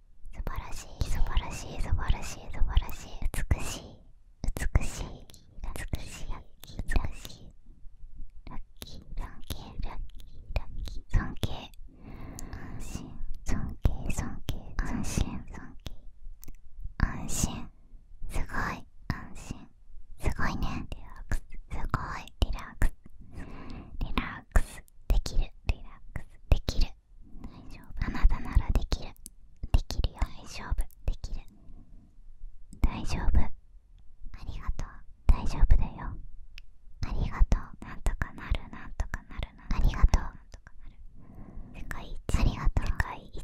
素晴らしい素晴らしい素晴らしい素晴らしい美しい美しい美しい美しいラッキーラッキーラッキーラッキー尊敬安心尊敬尊敬安心尊敬安心すごい安心すごいねリラックスすごいリラックスリラックスできるリラックスできる大丈夫あなたならできるできるよ大丈夫できる大丈夫ありがとう大丈夫だよありがとうなんとかなるなんとかなるありがとう世界一ありがとう世界一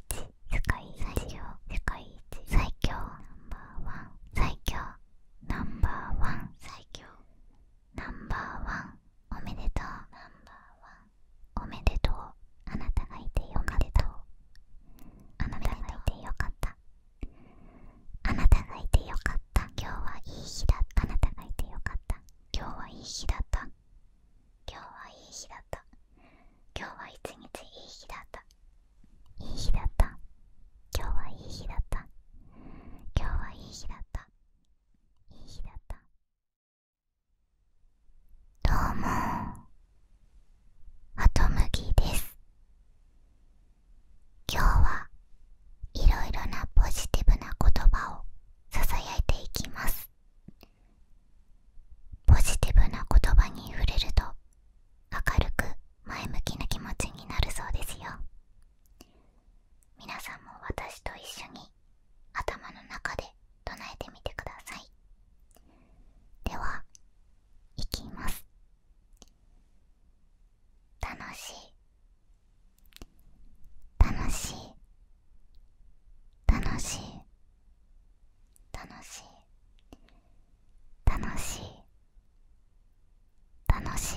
世界一最強世界一最強ナンバーワン最強ナンバーワン最強ナンバーワンおめでとうナンバーワンおめでとうあなたがいてよかったあなたがいてよかったあなたがいてよかった今日はいい日だったあなたがいてよかった今日はいい日だった今日はいい日だった今日は一日いい日だったいい日だった今日はいい日だった今日はいい日だったいい日だったどうもハトムです今日はいろいろなポジティブな言葉をさいていきますポジティブな言葉に触れると明るく前向きな気持ちになるそうですよ皆さんも私と一緒に頭の中で唱えてみてくださいではいきます楽しい楽しい楽しい楽しい楽しい楽しい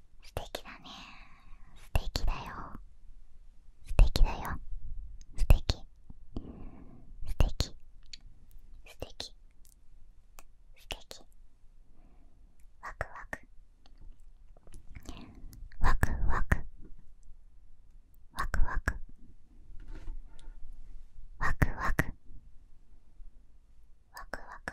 素敵だね素敵だよ素敵だよ素敵素敵素敵素敵ワクワクワクワクワクワクワクワクワクワクワクワクワクワクワクワワクワクワクワクワクワクワクワク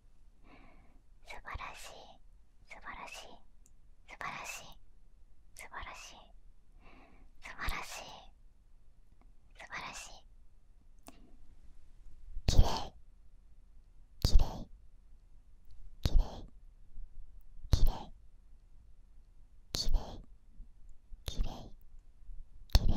素晴らしい素晴らしい素晴らしい素晴らしい素晴らしい素晴らしいきれいきれい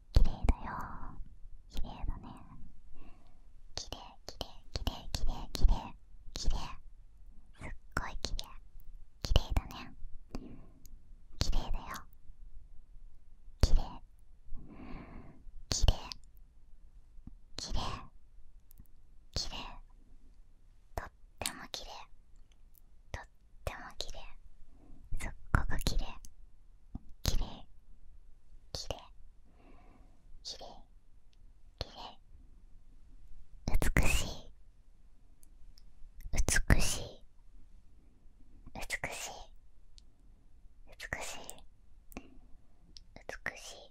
綺麗だよ綺麗だね綺麗綺麗綺麗綺麗綺麗すっごい綺麗綺麗だね綺麗だよ綺麗綺麗綺麗綺麗とっても綺麗とっても綺麗すっごく綺麗綺麗綺麗綺麗綺麗美しい美しい美しい美しい美しい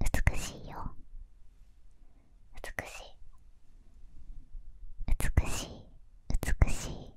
美しいよ美しい美しい美しい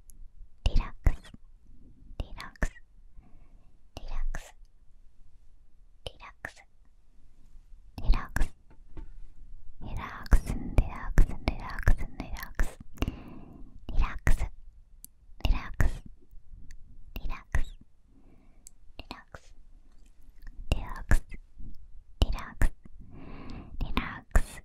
リラックスリラックスリラックスリラックスリラックスリラックスリラックスリラックスリラックスリラックスリラックスリラックスリラックスリラックスリラックスリラックス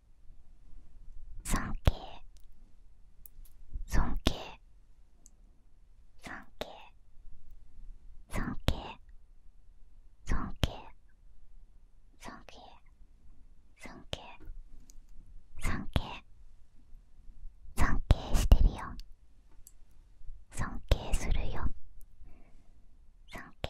尊敬尊敬尊敬尊敬尊敬尊敬尊敬尊敬尊敬してるよ尊敬するよ尊敬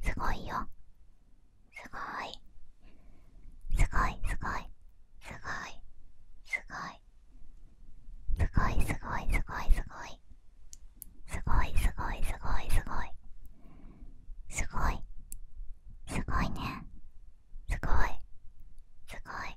すごいよすごいすごいすごいすごいすごいすごいすごいすごいすごいすごいすごいすごいすごいすごいすごいすごい。ねすごいすごい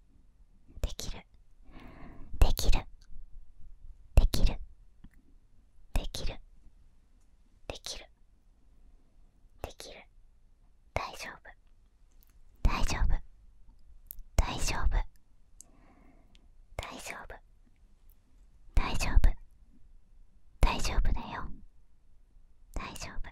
できるできるできるできるできるできる大丈夫大丈夫大丈夫大丈夫大丈夫大丈夫だよ大丈夫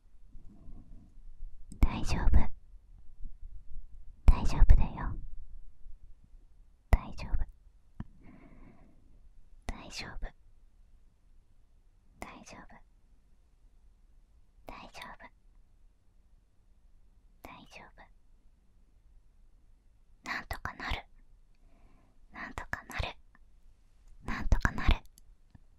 大丈夫大丈夫だよ大丈夫大丈夫大丈夫大丈夫大丈夫なんとかなるなんとかなるなんとかなる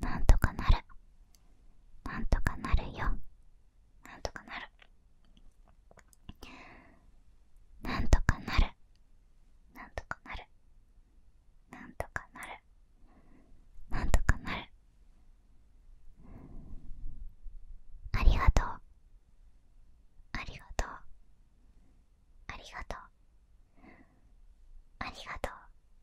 なんとかなるなんとかなるよなんとかなるなんとかなるなんとかなるなんとかなるなんとかなるありがとうありがとうありがとうありがとう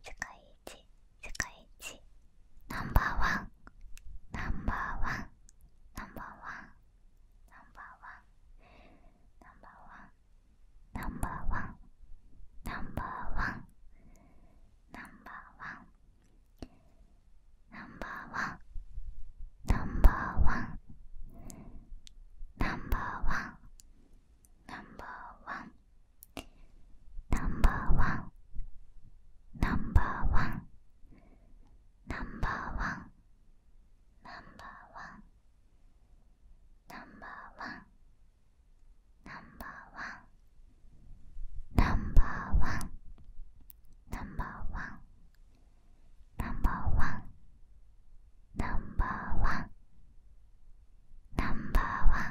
世界一，世界一，Number one，Number one，Number one，Number one，Number one，Number one，Number one，Number one，Number one，Number one，Number one。Number one. Number one. Number one. Number one. Number one. Number one. Number one. Number one. Number one. Number one. Number one.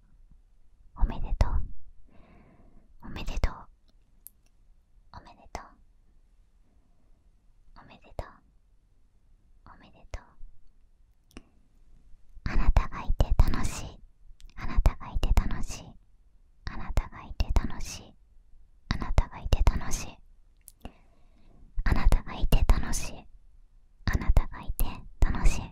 おめでとうおめでとうおめでとうおめでとうおめでとうあなたがいて楽しいあなたがいて楽しいあなたがいて楽しいあなたがいて楽しいあなたがいて楽しいあなたがいて楽しい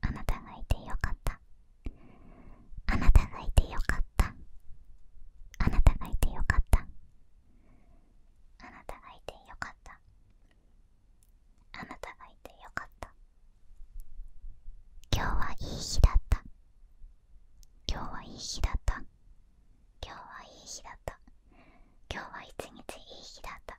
あなたがいてよかったあなたがいてよかったあなたがいてよかったあなたがいてよかったあなたがいてよかった今日はいい日だった今日はいい日だった今日はいい日だった今日はい日いい日だった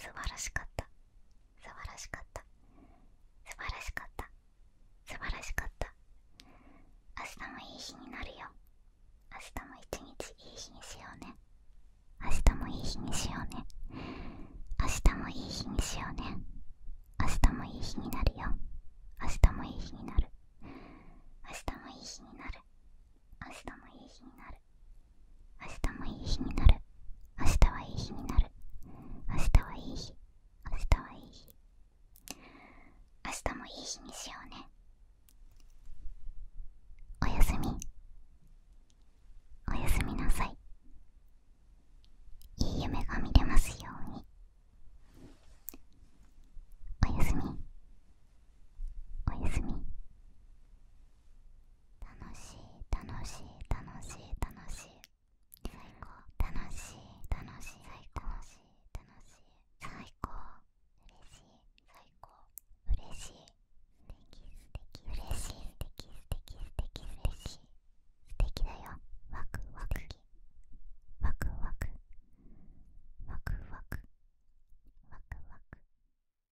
素晴らしかった素晴らしかった素晴らしかった素晴らしかった明日もいい日になるよ明日も一日いい日にしようね明日もいい日にしようね明日もいい日にしようね明日もいい日になるよ明日もいい日になる明日もいい日になる明日もいい日になる明日もいい日になる明日はいい日になる明日はいい日明日はいい日明日もいい日にしようねおやすみおやすみなさいいい夢が見れますようにおやすみおやすみ楽しい楽しい楽しい楽しい最高楽しい楽しい最高楽しい楽しい最高嬉しい最高嬉しい素敵素敵嬉しい素敵素敵素敵素敵素敵だよワクワクワクワクワクワクワクワク